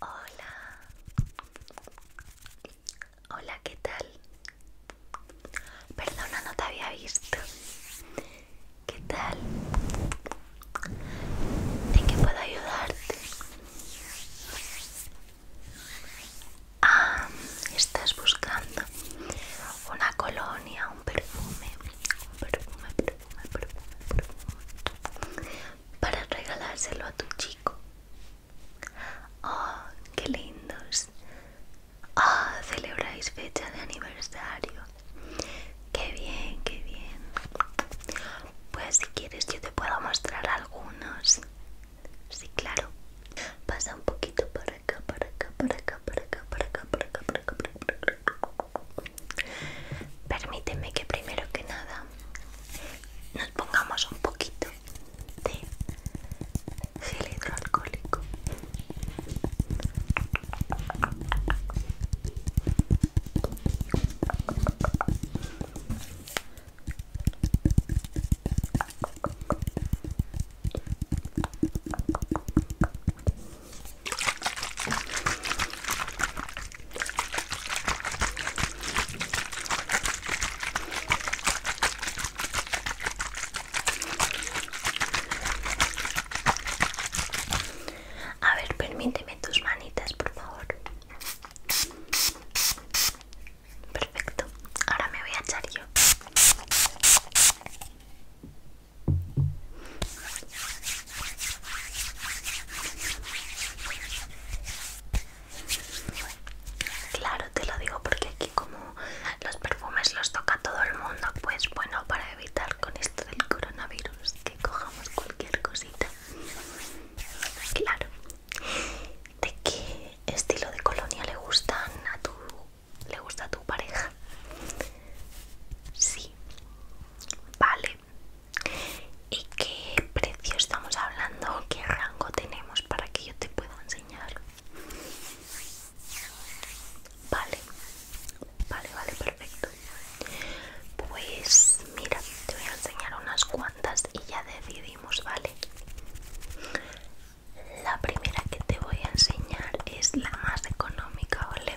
Hola. Hola, ¿qué tal? Perdona, no te había visto. ¿Qué tal? ¿En qué puedo ayudarte? Ah, estás buscando una colonia, un perfume, un perfume para regalárselo a tu chico. ¡Oh, qué lindos! ¡Oh, celebráis fecha de aniversario! ¡Qué bien, qué bien! Pues si quieres yo te puedo mostrar algunos. Sí, claro. Pasa un poquito para acá, para acá, para acá, para acá, para acá, para acá, para acá, para acá. Permíteme que primero que nada nos pongamos un poquito de gel alcohólico a ver, permíteme tus manitas, por favor. Perfecto. Ahora me voy a echar yo. Claro, te lo digo porque aquí como los perfumes los toca todo el mundo, pues bueno, para evitar con esto del coronavirus que cojamos cualquier cosita. Claro. ¿De qué estilo de colonia le gustan a tu le gusta a tu pareja? Sí. Vale, ¿Y qué precio estamos hablando? ¿Qué rango tenemos para que yo te pueda enseñar? Vale, vale, vale, perfecto. Pues mira, te voy a enseñar unas cuantas y ya decidimos, ¿vale? La primera que te voy a enseñar es la más económica, ¿vale?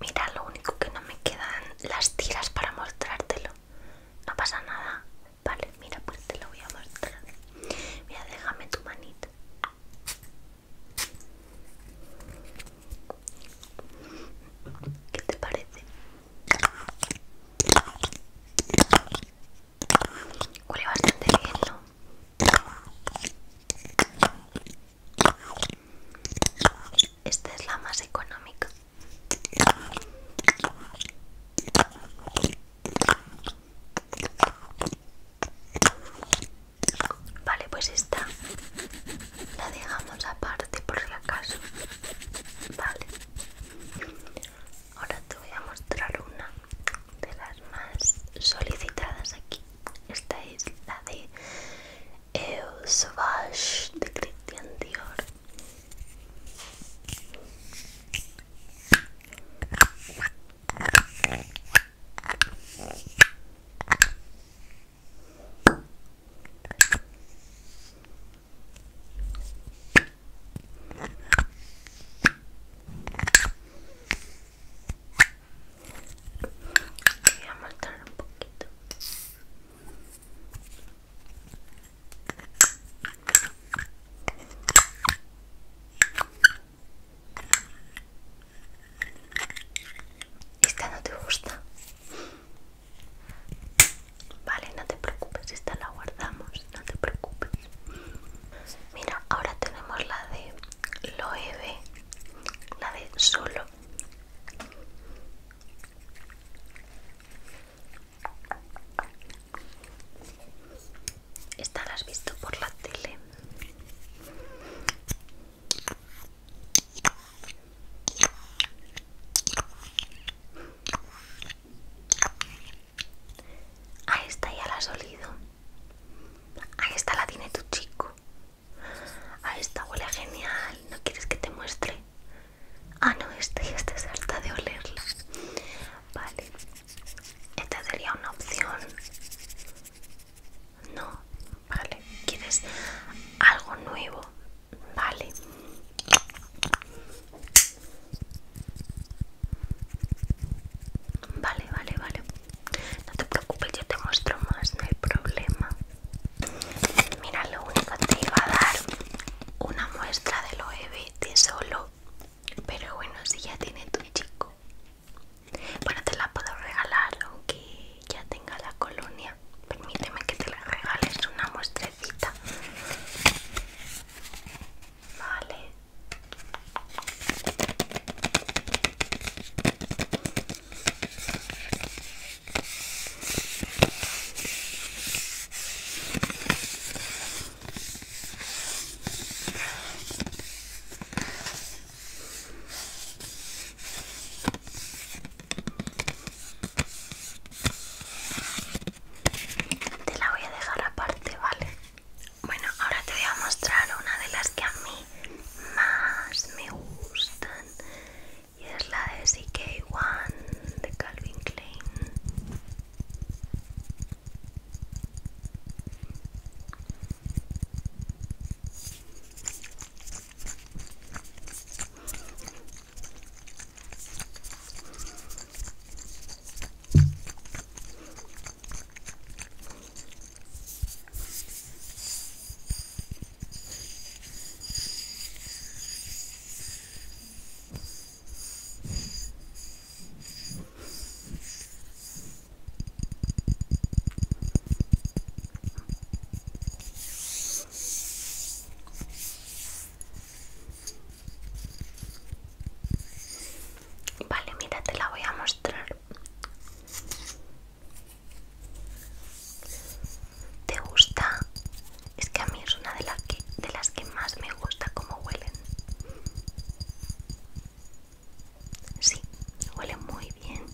Mira, lo único que no me quedan las tiras para mostrártelo. No pasa nada. Vale, mira, pues te lo voy a mostrar. Mira, déjame tu manita. ¿Qué te parece? Huele bastante bien, ¿no? Esta es la más económica. Vale, pues esta la dejamos aparte por si acaso. Vale. Ahora te voy a mostrar una de las más solicitadas aquí. Esta es la de Eu Sauvage de Christian Dior. Voy a mostrar un poquito. Esta no te gusta. Vale, no te preocupes, esta la guardamos, no te preocupes. Mira, ahora tenemos la de Loewe, la de solo. Esta la has visto por la tele. Ahí está ya la has olido. A esta la tiene tu chico. Ah, esta huele genial. ¿No quieres que te muestre? Ah, no, este ya harta de olerla. Vale. Esta sería una opción. No, vale. ¿Quieres algo nuevo? Vale. Vale, vale, vale. No te preocupes, yo te muestro más, no hay problema. Mira, lo único te iba a dar una muestra de lo de solo, pero bueno, si ya tiene tu chico, bueno, te la puedo regalar aunque ya tenga la colonia. Permíteme que te la regales una muestrecita. Vale. Te la voy a dejar aparte, ¿vale? Bueno, ahora te voy a mostrar una de las que a mí más me gustan y es la de CK1 de Calvin Klein Vale, mira, te la voy a mostrar. ¿Te gusta? Es que a mí es una de las que, de las que más me gusta cómo huelen. Sí, huele muy bien.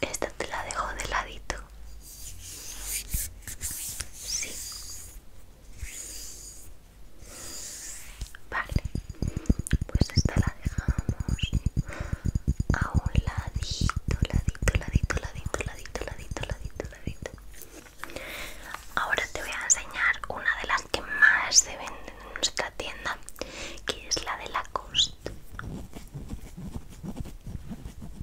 Esta te la dejo de ladito. Sí. Vale. Pues esta la dejamos a un ladito, ladito, ladito, ladito, ladito, ladito, ladito, ladito. Ahora te voy a enseñar una de las que más se venden en nuestra tienda, que es la de la cost.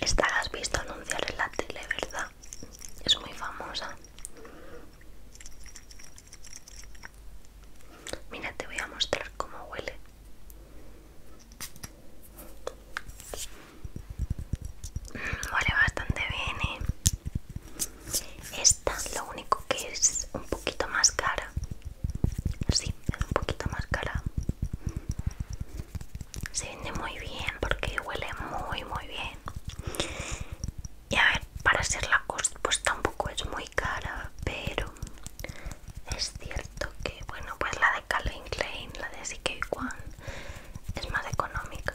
Esta la has visto anunciar en la tele, ¿verdad? Es muy famosa. Mira, te voy a mostrar cómo huele. Mm, huele bastante bien, ¿eh? Esta, lo único que es un poquito más cara Sí, es un poquito más cara. Se vende muy bien porque huele muy muy bien. Y a ver, para ser la cost, pues tampoco es muy cara, pero es cierto que, bueno, pues la de Calvin Klein, la de CK One, es más económica.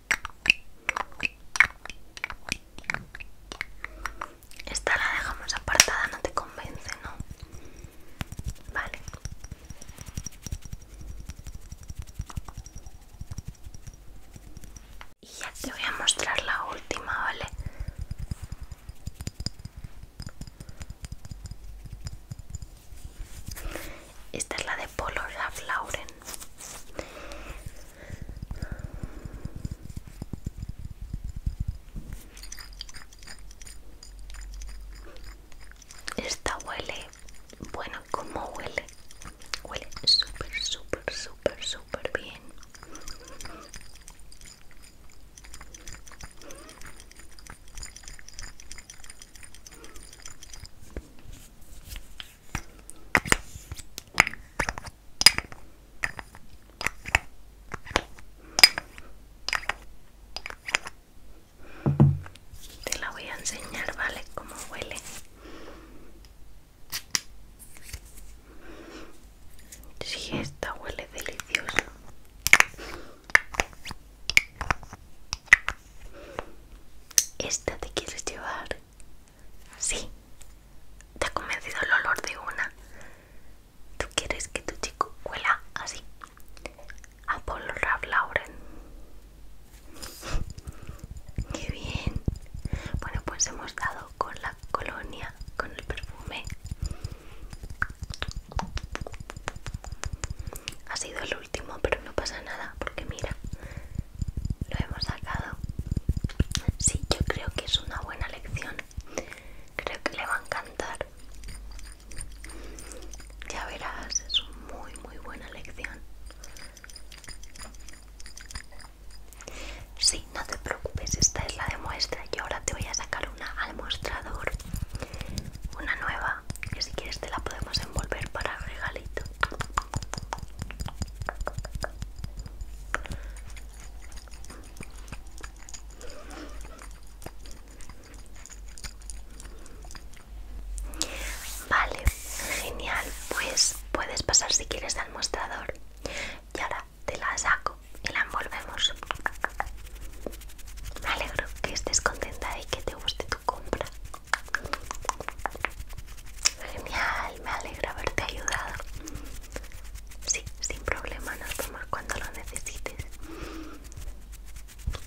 Esta la dejamos apartada, no te convence, ¿no? Vale. Y ya te voy a mostrar la última, ¿vale? Esta es la de Polo Ralph Lauren. Esta huele, bueno, ¿cómo huele? Huele súper, súper, súper, súper bien. Te la voy a enseñar, ¿vale? como huele. Sí, esta huele delicioso. Esta te quieres llevar. Sí, te ha convencido el olor de una. ¿Tú quieres que tu chico huela así? A Paul Lauren. ¡Qué bien! Bueno, pues hemos dado con la colonia, con el perfume. Ha sido el último, pero no pasa nada, porque mira, lo hemos sacado. Sí, yo creo que es una buena lección. Creo que le va a encantar. Ya verás, es muy, muy buena lección. Sí, no te preocupes, esta es la de muestra. Yo ahora te voy a sacar una al mostrador, una nueva, que si quieres te la podemos envolver para regalito. Vale, genial. Pues puedes pasar si quieres al mostrador. Y ahora te la saco y la envolvemos. Me alegro que estés contenta y que te guste tu compra. Genial, me alegra haberte ayudado. Sí, sin problema, nos vemos cuando lo necesites.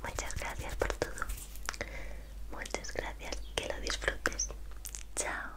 Muchas gracias por todo. Muchas gracias, que lo disfrutes. Chao.